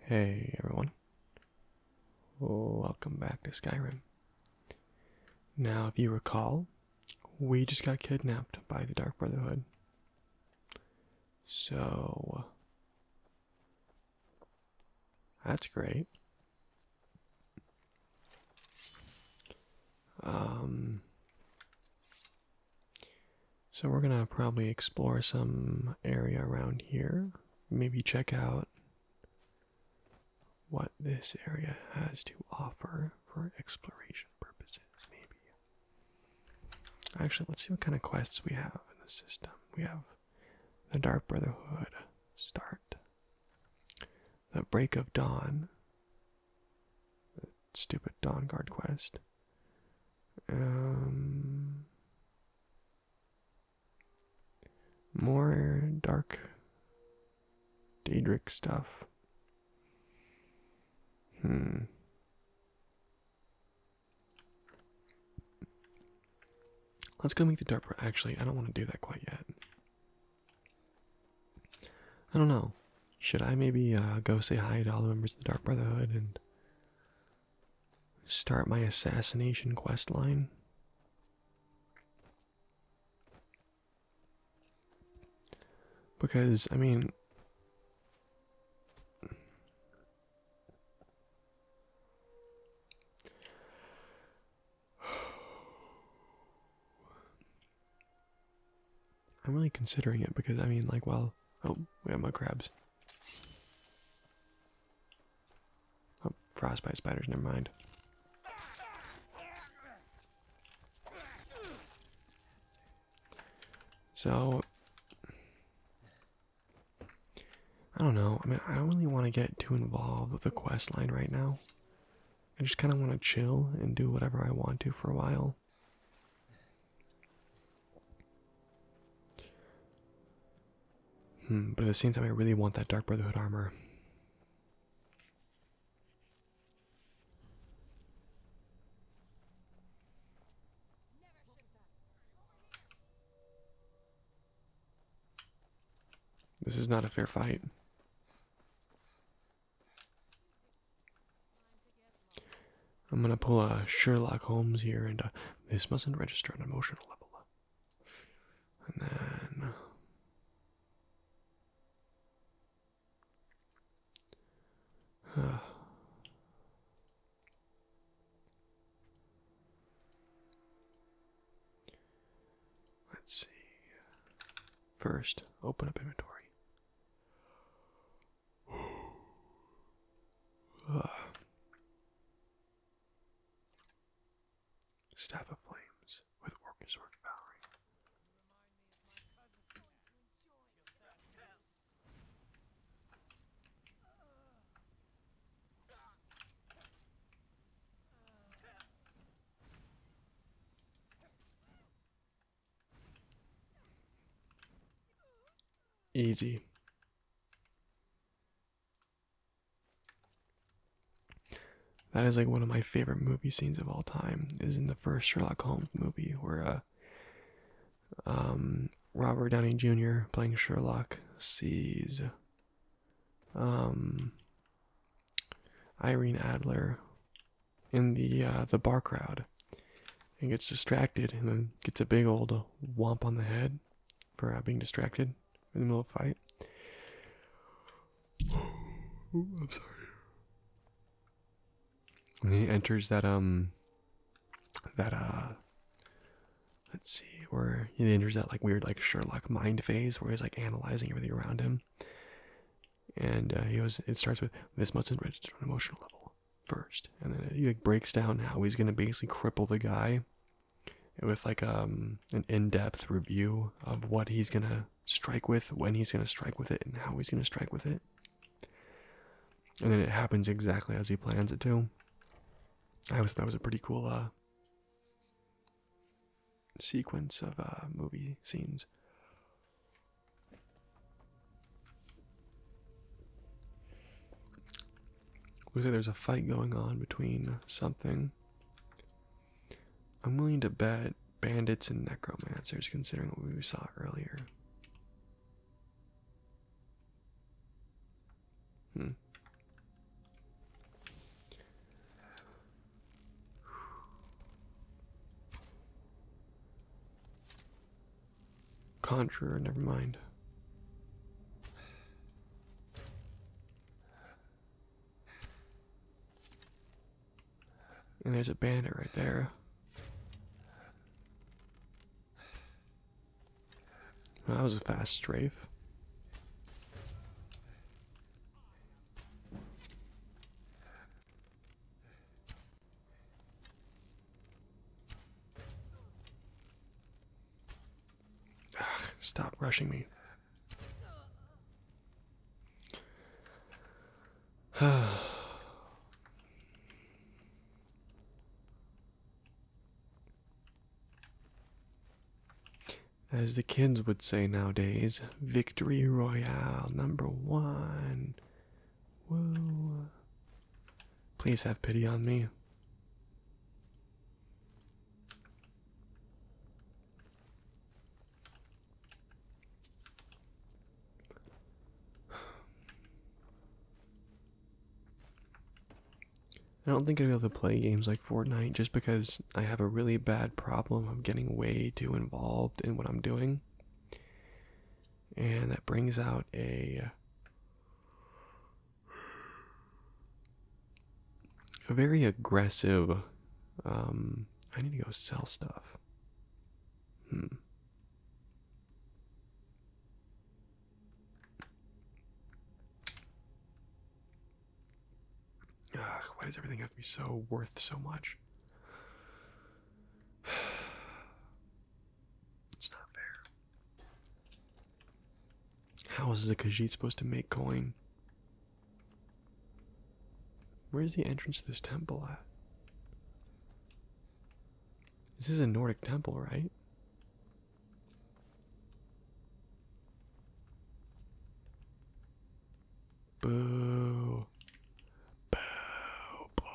Hey everyone, welcome back to Skyrim. Now, if you recall, we just got kidnapped by the Dark Brotherhood. So, that's great. Um, so we're gonna probably explore some area around here. Maybe check out what this area has to offer for exploration purposes, maybe. Actually, let's see what kind of quests we have in the system. We have the Dark Brotherhood start. The Break of Dawn stupid Dawn Guard quest. Um, more dark Daedric stuff. Hmm. Let's go meet the Dark Actually, I don't want to do that quite yet. I don't know. Should I maybe uh, go say hi to all the members of the Dark Brotherhood and start my assassination quest line? Because, I mean, I'm really considering it because I mean, like, well, oh, we have my crabs. Oh, frostbite spiders, never mind. So, I don't know. I mean, I don't really want to get too involved with the quest line right now. I just kind of want to chill and do whatever I want to for a while. Hmm, but at the same time, I really want that Dark Brotherhood armor. This is not a fair fight. I'm gonna pull a Sherlock Holmes here, and uh, this mustn't register on an emotional level. Uh. And then uh, let's see. First, open up inventory. Staff of Flames with Orcus Orc Valerie. Easy. That is like one of my favorite movie scenes of all time. Is in the first Sherlock Holmes movie where uh, um, Robert Downey Jr. playing Sherlock sees um, Irene Adler in the uh, the bar crowd and gets distracted and then gets a big old whomp on the head for uh, being distracted in the middle of a fight. I'm sorry. then he enters that um that uh let's see where he enters that like weird like Sherlock mind phase where he's like analyzing everything around him and uh, he goes it starts with this mustn't register on emotional level first and then he breaks down how he's going to basically cripple the guy with like um, an in-depth review of what he's going to strike with when he's going to strike with it and how he's going to strike with it and then it happens exactly as he plans it to i was that was a pretty cool uh, sequence of uh, movie scenes. Looks like there's a fight going on between something. I'm willing to bet bandits and necromancers, considering what we saw earlier. Hmm. Conjurer, never mind. there's a bandit right there. that was a fast strafe. Ugh, stop rushing me. As the kids would say nowadays, Victory Royale number one. Whoa. Please have pity on me. I don't think i am be able to play games like Fortnite just because I have a really bad problem of getting way too involved in what I'm doing. And that brings out a, a very aggressive. Um, I need to go sell stuff. Hmm. Ugh, why does everything have to be so worth so much? It's not fair. How is the kajit supposed to make coin? Where's the entrance to this temple at? This is a Nordic temple, right? Boo. Boo. Boring.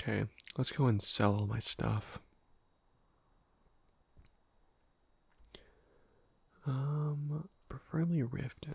Okay, let's go and sell all my stuff. Um, preferably Riften.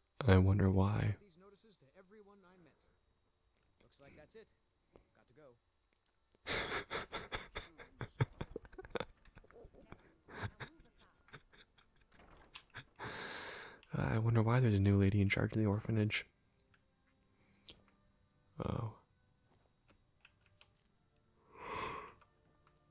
I wonder why. I wonder why there's a new lady in charge of the orphanage. Oh.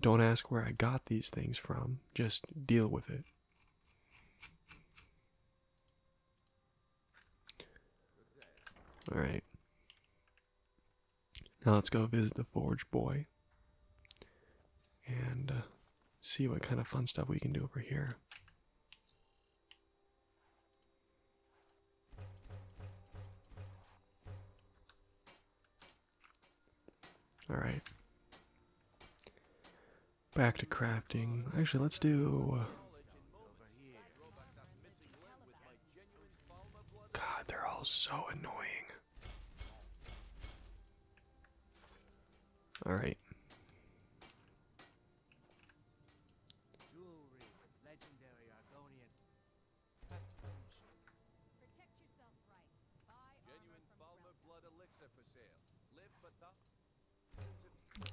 Don't ask where I got these things from, just deal with it. Alright. Now let's go visit the Forge Boy and uh, see what kind of fun stuff we can do over here. Alright. Back to crafting. Actually, let's do. God, they're all so annoying. All right.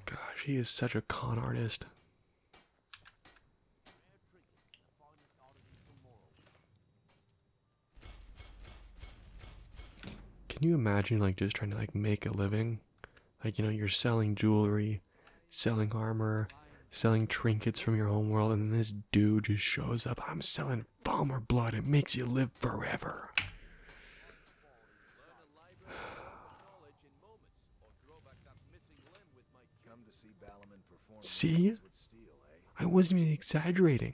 Gosh, he is such a con artist. Can you imagine like just trying to like make a living? Like you know, you're selling jewelry, selling armor, selling trinkets from your home world, and this dude just shows up. I'm selling Falmer blood. It makes you live forever. See, I wasn't even exaggerating.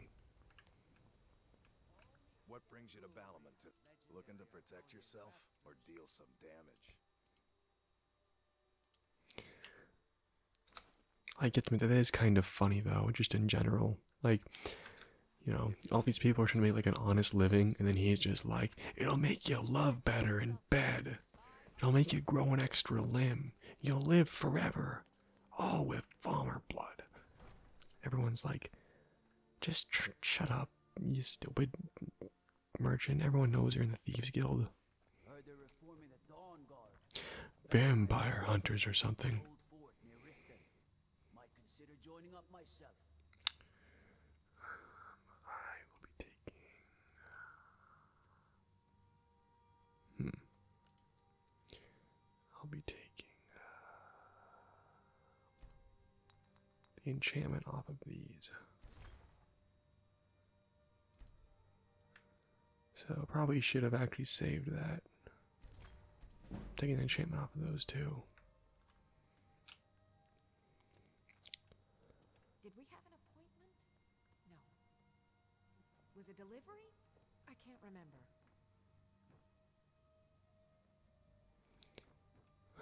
What brings you to Balaman? Looking to protect yourself or deal some damage? I get to that is kind of funny though, just in general. Like, you know, all these people are trying to make like an honest living, and then he's just like, it'll make you love better in bed. It'll make you grow an extra limb. You'll live forever. All with farmer blood. Everyone's like, just shut up, you stupid merchant. Everyone knows you're in the Thieves Guild. Vampire hunters or something. I will be taking. Hmm. I'll be taking uh, the enchantment off of these. So probably should have actually saved that. Taking the enchantment off of those two. Did we have an appointment? No. Was it delivery? I can't remember.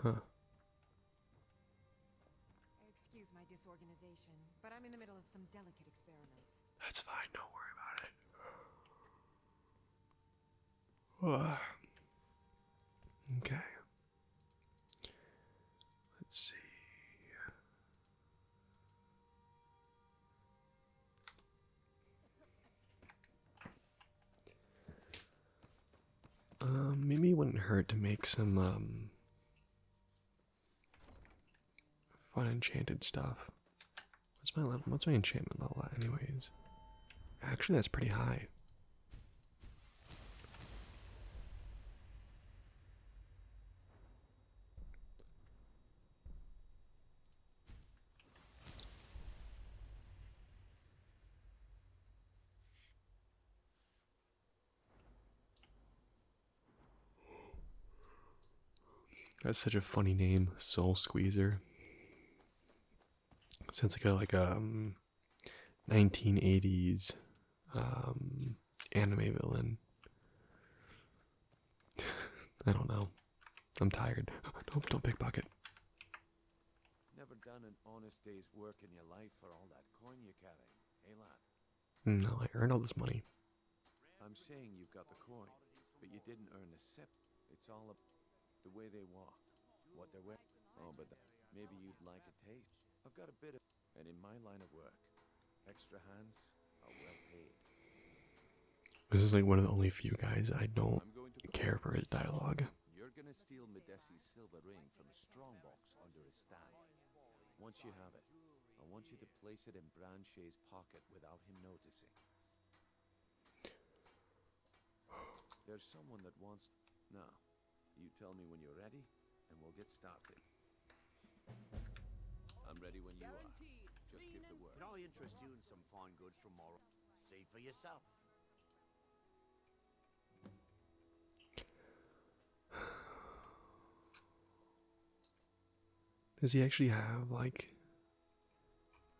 Huh. Excuse my disorganization, but I'm in the middle of some delicate experiments. That's fine, don't worry about it. Uh, okay. Let's see. Um, maybe it wouldn't hurt to make some um, Fun enchanted stuff. What's my level? What's my enchantment level anyways? Actually, that's pretty high. That's such a funny name, Soul Squeezer. Sounds like a like a um, 1980s um, anime villain. I don't know. I'm tired. Don't don't pickpocket. Never done an honest day's work in your life for all that coin you carry, hey lad. Hmm, no, I earned all this money. I'm saying you've got the coin, but you didn't earn a sip. It's all about the way they walk, what they're wearing. Oh, but maybe you'd like a taste. I've got a bit of, and in my line of work, extra hands are well paid. This is like one of the only few guys I don't care for his dialog under his thigh. Once you have it, I want you to place it in Branche's pocket without him noticing. There's someone that wants... Now, you tell me when you're ready, and we'll get started. I'm ready when you are. Just give the word. Can I interest you in some fine goods from Morrow? See for yourself. Does he actually have, like.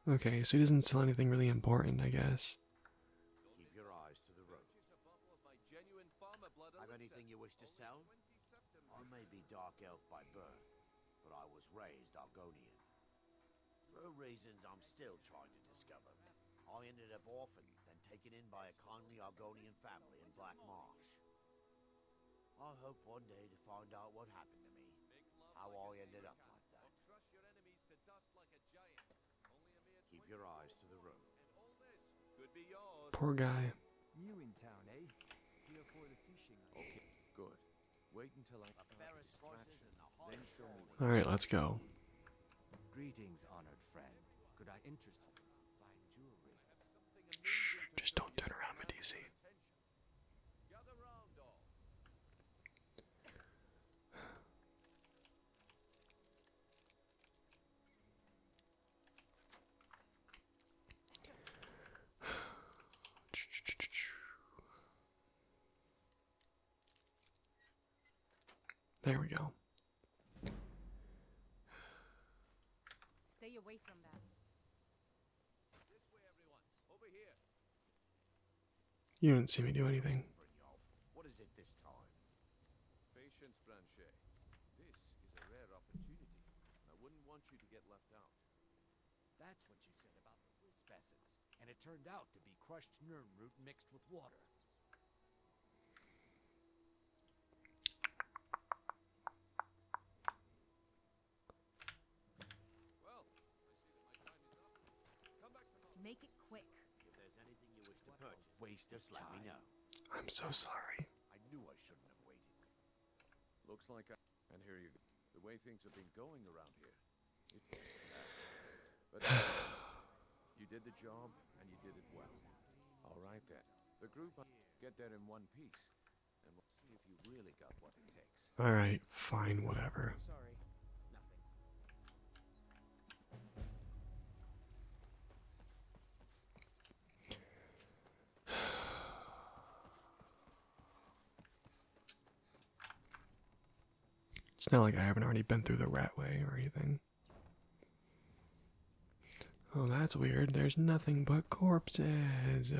Okay, so he doesn't sell anything really important, I guess. i your Have anything you wish to sell? I may be dark elf by birth, but I was raised Argonian. For reasons I'm still trying to discover, I ended up orphaned, and taken in by a kindly Argonian family in Black Marsh. I hope one day to find out what happened to me. How I ended up like that. Poor guy. New in town, eh? good. Wait until I All right, let's go. Greetings, honored friend. Could I interest you in some fine jewelry? Shh, just don't turn around, Medici. There we go. Stay away from that. You didn't see me do anything. What is it this time? Patience, Blanchet. This is a rare opportunity. I wouldn't want you to get left out. That's what you said about the whiz facets. And it turned out to be crushed nern root mixed with water. I Make it quick. waste just let I'm so sorry. I knew I shouldn't have waited. Looks like and here you go. The way things have been going around here. but you did the job and you did it well. All right then. The group get there in one piece, All right, fine, whatever. It's not like I haven't already been through the ratway or anything. Oh, that's weird. There's nothing but corpses.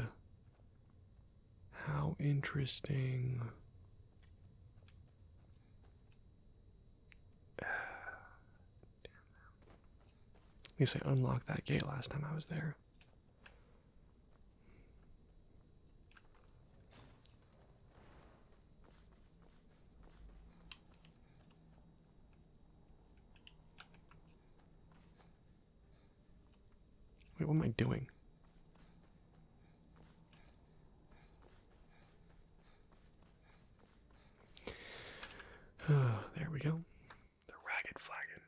How interesting. Damn At least I unlocked that gate last time I was there. Wait, what am I doing? Uh, there we go. The ragged flagon.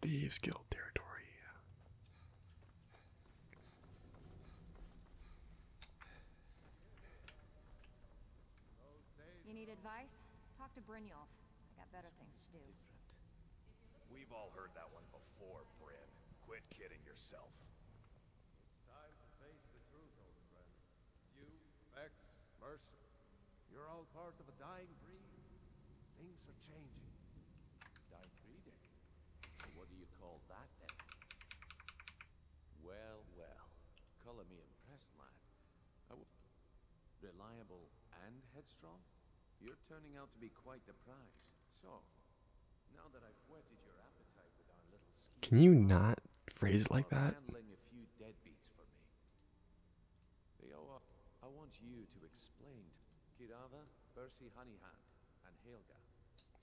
Thieves Guild territory. You need advice? Talk to Brynjolf. I got better things to do. We've all heard that one before, Bryn. Quit kidding yourself. It's time to face the truth, old friend. You, Max, Mercer, you're all part of a dying breed. Things are changing. Dying breed, reliable and headstrong? You're turning out to be quite the prize. So, now that I've whetted your appetite with our little Can you not phrase it like that? I want you to explain Kirava Bersi Honeyhand and Helga.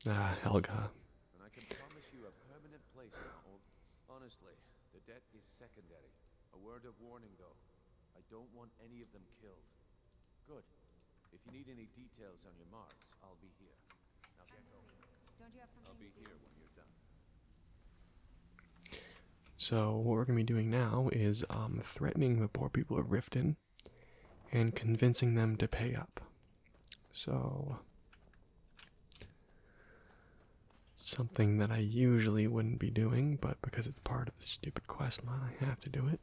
Ah, Helga. And I can promise you a permanent place in Honestly, the debt is secondary. A word of warning, though. I don't want any of them killed. Good. If you need any details on your marks, I'll be here. I'll be here when you're done. So what we're going to be doing now is um, threatening the poor people of Riften and convincing them to pay up. So, something that I usually wouldn't be doing, but because it's part of the stupid quest line, I have to do it.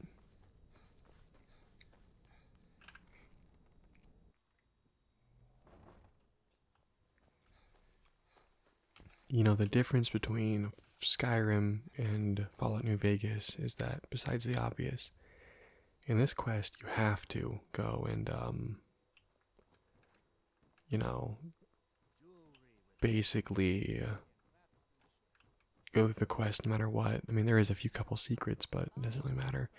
You know, the difference between Skyrim and Fallout New Vegas is that, besides the obvious, in this quest you have to go and um, you know basically go through the quest no matter what i mean there is a few couple secrets but it doesn't really matter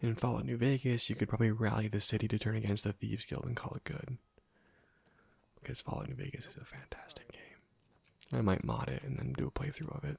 in fallout new vegas you could probably rally the city to turn against the thieves guild and call it good because fallout new vegas is a fantastic game i might mod it and then do a playthrough of it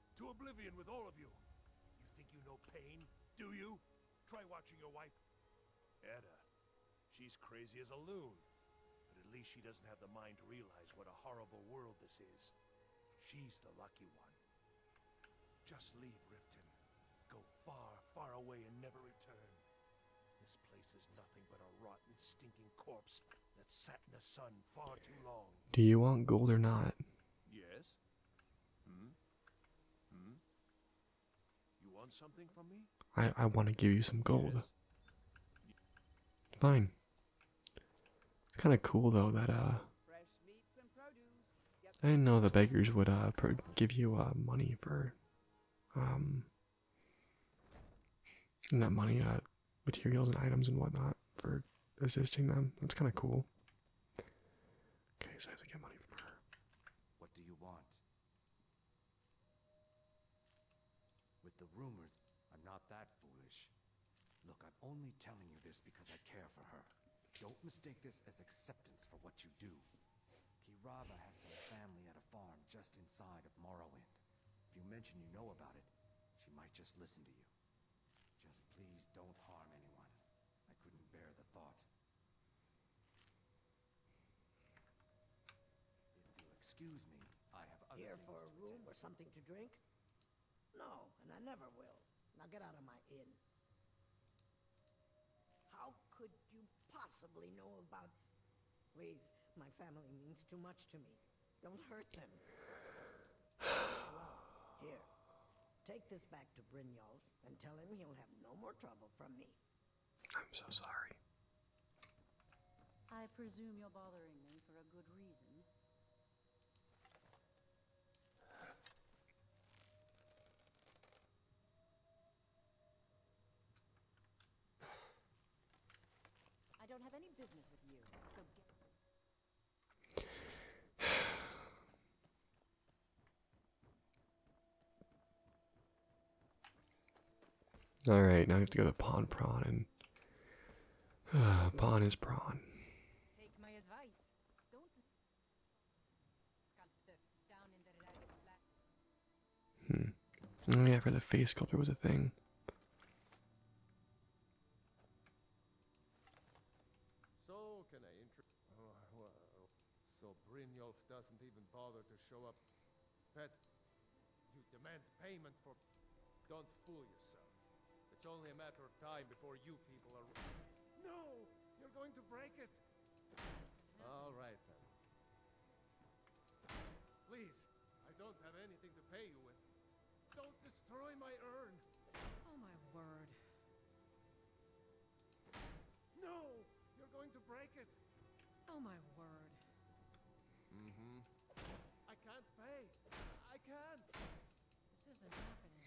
To oblivion with all of you. You think you know pain, do you? Try watching your wife. Edda. She's crazy as a loon. But at least she doesn't have the mind to realize what a horrible world this is. She's the lucky one. Just leave Ripton. Go far, far away and never return. This place is nothing but a rotten, stinking corpse that sat in the sun far too long. Do you want gold or not? Yes. Hmm? Hmm? I I want to give you some gold. Fine. It's kind of cool though that uh I didn't know the beggars would uh give you uh money for um and that money uh materials and items and whatnot for assisting them. That's kind of cool. Okay, so I have to get money from her. What do you want? With the rumors, I'm not that foolish. Look, I'm only telling you this because I care for her. Don't mistake this as acceptance for what you do. Kirava has some family at a farm just inside of Morrowind. If you mention you know about it, she might just listen to you. Just please don't harm anyone. I couldn't bear the thought. If you'll excuse me, I have other Here for a room attend. or something to drink? No, and I never will. Now get out of my inn. How could you possibly know about... Please, my family means too much to me. Don't hurt them. well, here. Take this back to Brynjolf and tell him he'll have no more trouble from me. I'm so sorry. I presume you're bothering me for a good reason. I don't have any business with you, so Alright, now I have to go to Pawn Prawn and. Uh, pawn is prawn. Hmm. Oh, the face sculptor was a thing. So can I intro... Oh, so Brynjolf doesn't even bother to show up. But you demand payment for... Don't fool yourself. It's only a matter of time before you people are... No! You're going to break it! All right, then. Please, I don't have anything to pay you with. Don't destroy my urn! Oh my word. No! You're going to break it! Oh my word. Mm-hmm. I can't pay. I can't. This isn't happening.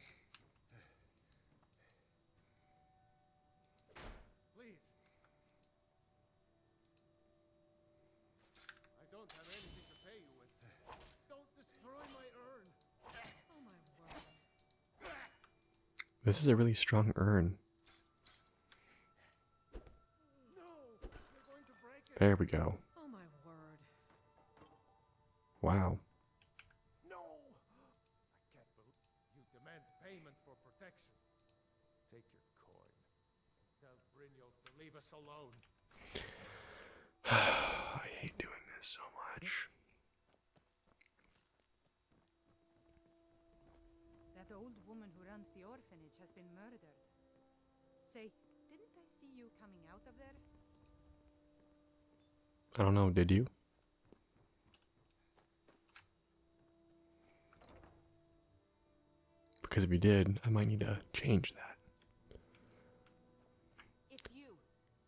Please. I don't have anything to pay you with. Don't destroy my urn. This is a really strong urn. There we go. Wow. No. I can't believe you demand payment for protection. Take your coin. Tell Brynjolf to leave us alone. I hate doing this so much. That old woman who runs the orphanage has been murdered. Say, didn't I see you coming out of there? I don't know, did you? Because if you did, I might need to change that. It's you.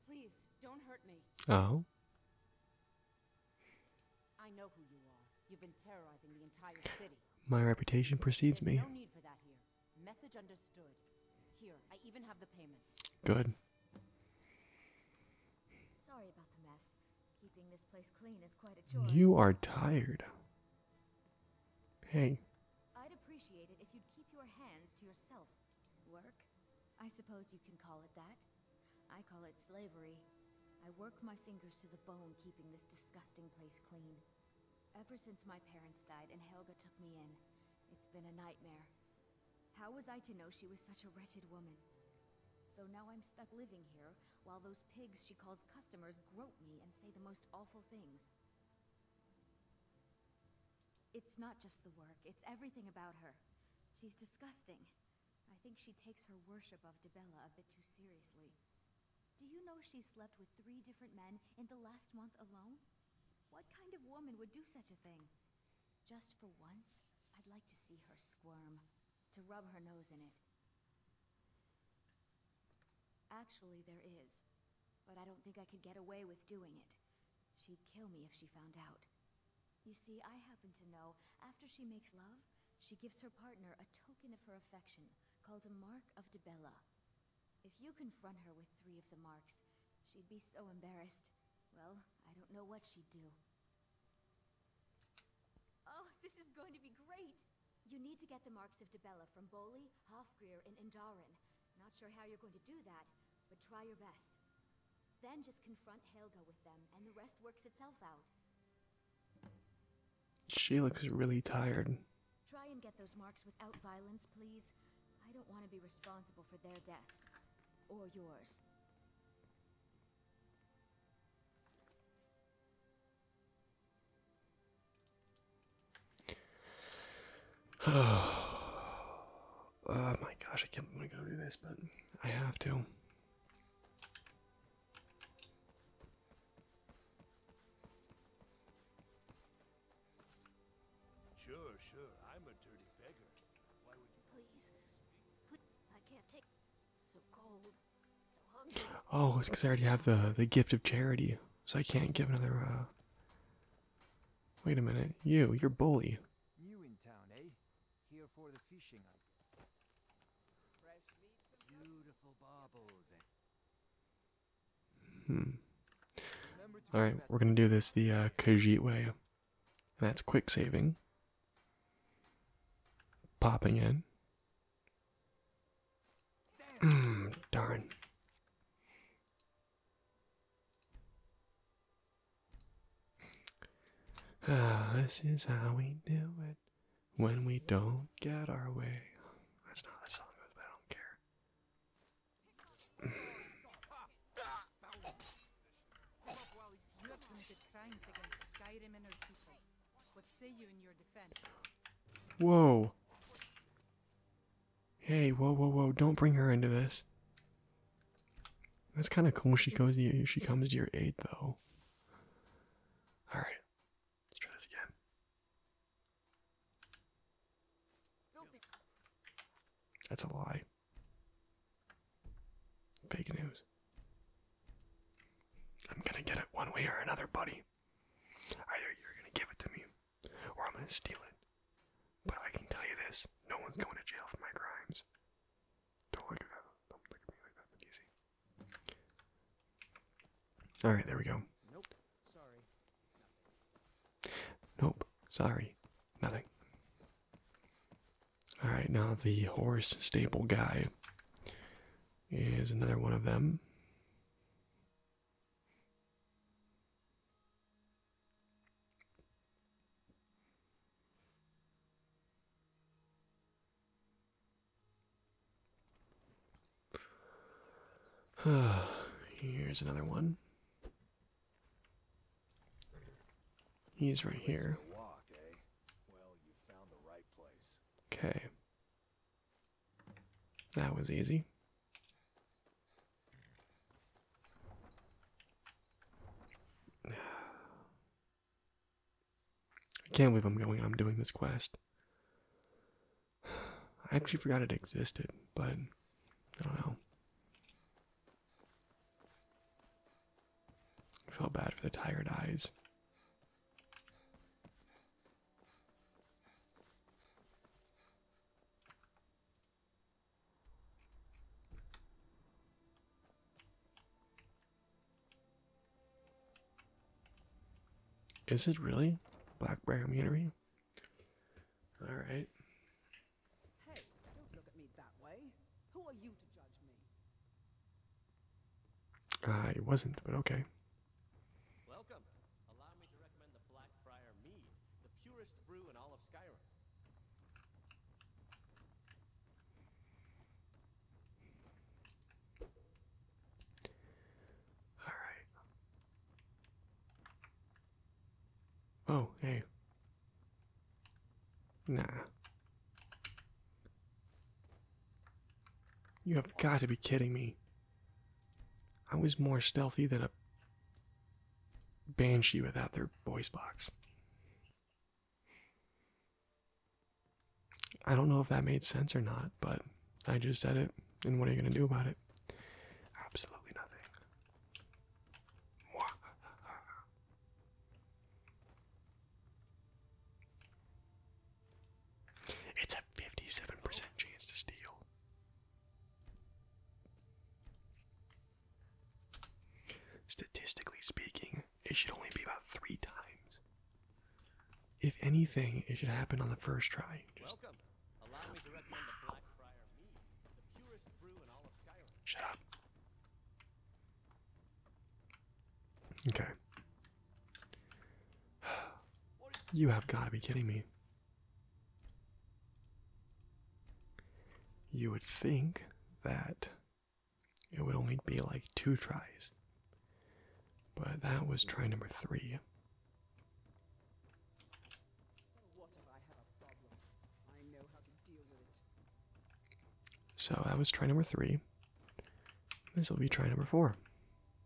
Please, don't hurt me. Oh. I know who you are. You've been terrorizing the entire city. My reputation precedes me. No need for that here. Message understood. Here, I even have the payment. Good. Sorry about the mess. Keeping this place clean is quite a chore. You are tired. Hey. I'd appreciate it if you'd keep your hands to yourself. Work? I suppose you can call it that. I call it slavery. I work my fingers to the bone keeping this disgusting place clean. Ever since my parents died and Helga took me in, it's been a nightmare. How was I to know she was such a wretched woman? So now I'm stuck living here, while those pigs she calls customers grope me and say the most awful things. It's not just the work, it's everything about her. She's disgusting. I think she takes her worship of Debella a bit too seriously. Do you know she slept with three different men in the last month alone? What kind of woman would do such a thing? Just for once, I'd like to see her squirm. To rub her nose in it. Actually, there is. But I don't think I could get away with doing it. She'd kill me if she found out. You see, I happen to know, after she makes love, she gives her partner a token of her affection, called a Mark of Debella. If you confront her with three of the marks, she'd be so embarrassed. Well, I don't know what she'd do. Oh, this is going to be great! You need to get the marks of Debella from Boli, Hofgreer, and Indarin. Not sure how you're going to do that, but try your best. Then just confront Helga with them, and the rest works itself out. She looks really tired. Try and get those marks without violence, please. I don't want to be responsible for their deaths. Or yours. oh my gosh, I can't want to go do this, but I have to. Sure, sure. I'm a dirty beggar. Why would you please? I can't take so cold. So hungry. Oh, it's because I already have the the gift of charity, so I can't give another uh, Wait a minute. You, your bully. Eh? Eh? Hmm. Alright, we're gonna do this the uh, way. And that's quick saving. Popping in. Mm, darn. Ah, this is how we do it when we don't get our way. That's not how the song goes, but I don't care. Whoa. Hey, whoa, whoa, whoa! Don't bring her into this. That's kind of cool. She goes. she comes to your aid, though. All right, let's try this again. That's a lie. Fake news. I'm gonna get it one way or another, buddy. Either you're gonna give it to me, or I'm gonna steal it. But I can tell you this: no one's going to jail for my crimes. Don't look at me like that. easy. All right, there we go. Nope. Sorry. Nothing. Nope. Sorry. Nothing. All right, now the horse stable guy is another one of them. Here's another one. He's right here. Eh? Okay. That was easy. I can't believe I'm going I'm doing this quest. I actually forgot it existed, but I don't know. I feel bad for the tired eyes. Is it really black brown All right. Hey, don't look at me that way. Who are you to judge me? Ah, it wasn't, but okay. Welcome. Allow me to recommend the Blackfriar Mead, the purest brew in all of Skyrim. All right. Oh, hey. Nah. You have got to be kidding me. I was more stealthy than a banshee without their voice box. I don't know if that made sense or not, but I just said it, and what are you going to do about it? Absolutely nothing. It's a 57% chance to steal. Statistically speaking, it should only be about three times. If anything, it should happen on the first try. Welcome. Allow me to recommend the Blackfriar Mead, the purest brew in all of Skyrim. Shut up. Okay you have got to be kidding me. You would think that it would only be like two tries, but that was try number three. So, that was try number three. This will be try number four.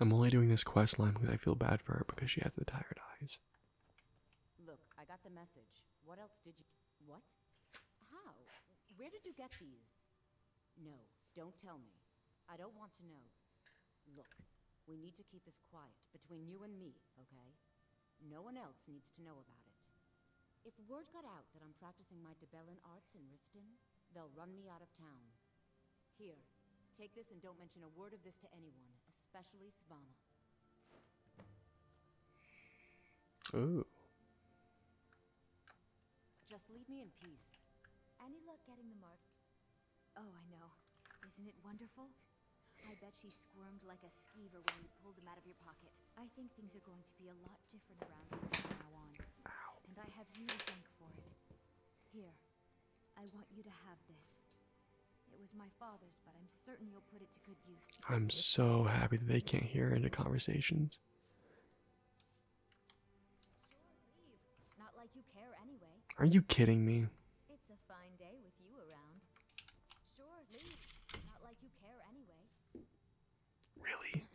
I'm only doing this quest line because I feel bad for her because she has the tired eyes. Look, I got the message. What else did you What? How? Where did you get these? No, don't tell me. I don't want to know. Look, we need to keep this quiet, between you and me, okay? No one else needs to know about it. If word got out that I'm practicing my Debellan arts in Riften, they'll run me out of town. Here, take this and don't mention a word of this to anyone, especially Svana. Ooh. Just leave me in peace. Any luck getting the mark? Oh, I know. Isn't it wonderful? I bet she squirmed like a skeever when you pulled them out of your pocket. I think things are going to be a lot different around here from now on. And I have you to thank for it. Here, I want you to have this. It was my father's, but I'm certain you'll put it to good use. I'm so happy that they can't hear into conversations. Are you kidding me? Really?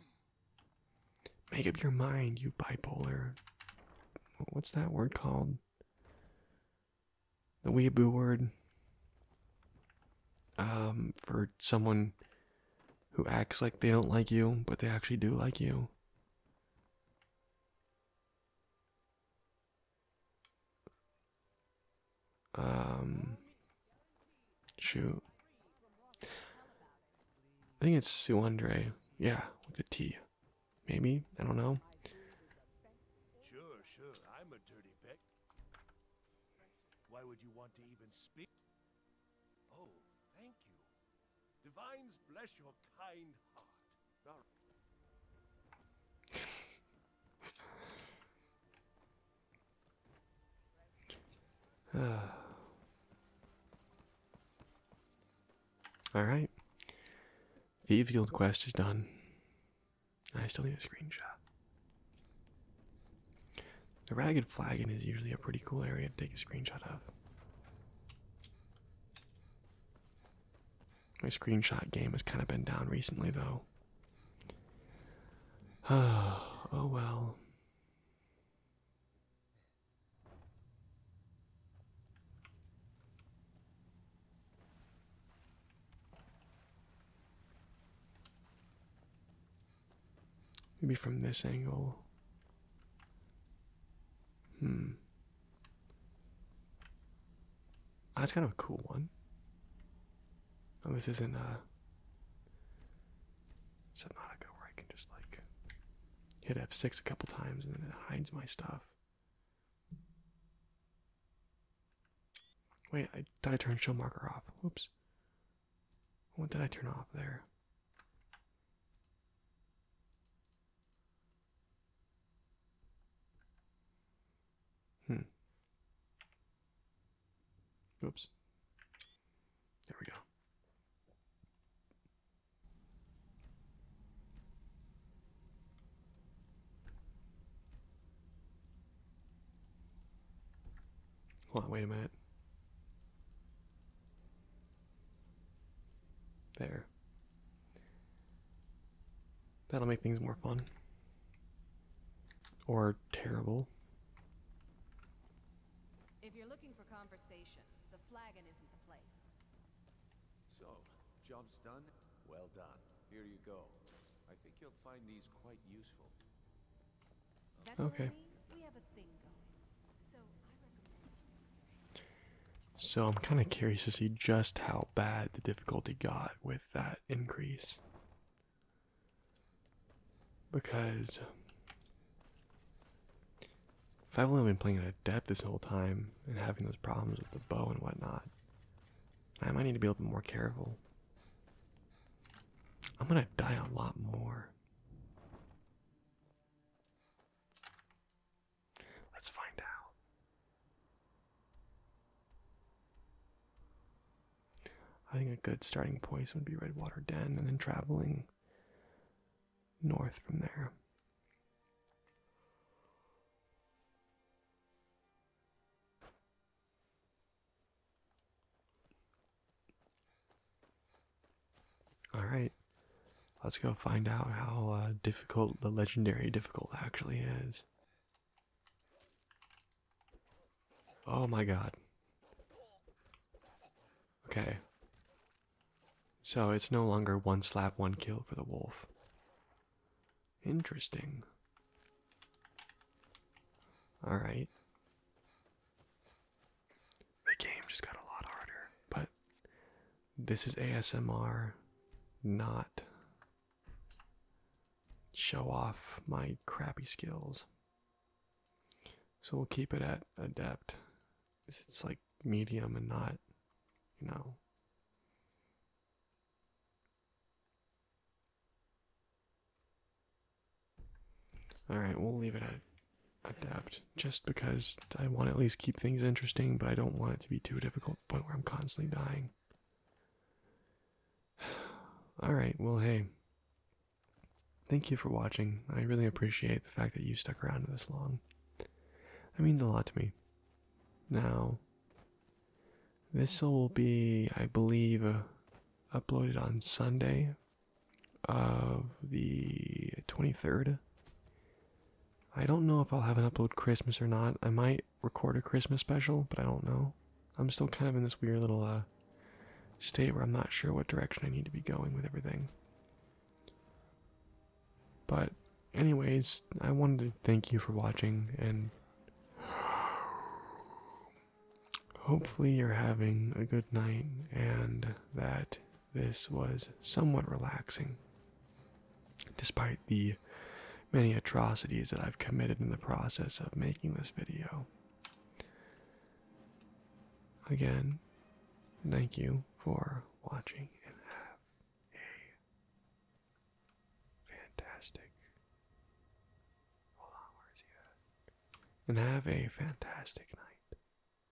Make up your mind, you bipolar. What's that word called? The weeaboo word. Um, for someone who acts like they don't like you, but they actually do like you. Um, shoot. I think it's Suandre. Yeah, with a T. Maybe? I don't know. Sure, sure. I'm a dirty peck. Why would you want to even speak? Oh, thank you. Divines bless your kind heart. Alright. the field quest is done. I still need a screenshot. The Ragged Flagon is usually a pretty cool area to take a screenshot of. My screenshot game has kind of been down recently, though. oh well. Maybe from this angle. Hmm. That's kind of a cool one. Oh, this isn't uh Subnautica where I can just like hit F6 a couple times and then it hides my stuff. Wait, I thought I turned show marker off. Whoops. What did I turn off there? Hmm. Oops. There we go. Hold wait a minute. There. That'll make things more fun. Or terrible. If you're looking for conversation, the flagon isn't the place. So, job's done? Well done. Here you go. I think you'll find these quite useful. Okay. So I'm kind of curious to see just how bad the difficulty got with that increase. Because if I've only been playing at a depth this whole time and having those problems with the bow and whatnot, I might need to be a little bit more careful. I'm gonna die a lot more. Let's find out. I think a good starting point would be Redwater Den and then traveling north from there. All right, let's go find out how uh, difficult the legendary difficult actually is. Oh my god. Okay. So it's no longer one slap, one kill for the wolf. Interesting. Alright the game just got a lot harder. But this is ASMR, not show off my crappy skills. So we'll keep it at adept. It's like medium and not, you know. All right, we'll leave it at adapt just because I want to at least keep things interesting, but I don't want it to be too difficult to point where I'm constantly dying. Alright, well, hey. Thank you for watching. I really appreciate the fact that you stuck around this long. That means a lot to me. Now, this will be, I believe, uh, uploaded on Sunday of the 23rd. I don't know if I'll have an upload Christmas or not. I might record a Christmas special, but I don't know. I'm still kind of in this weird little uh, state where I'm not sure what direction I need to be going with everything. But, anyways, I wanted to thank you for watching, and hopefully, you're having a good night and that this was somewhat relaxing, despite the many atrocities that I've committed in the process of making this video. Again, thank you for watching and have a fantastic. Hold on, where is he at? And have a fantastic night.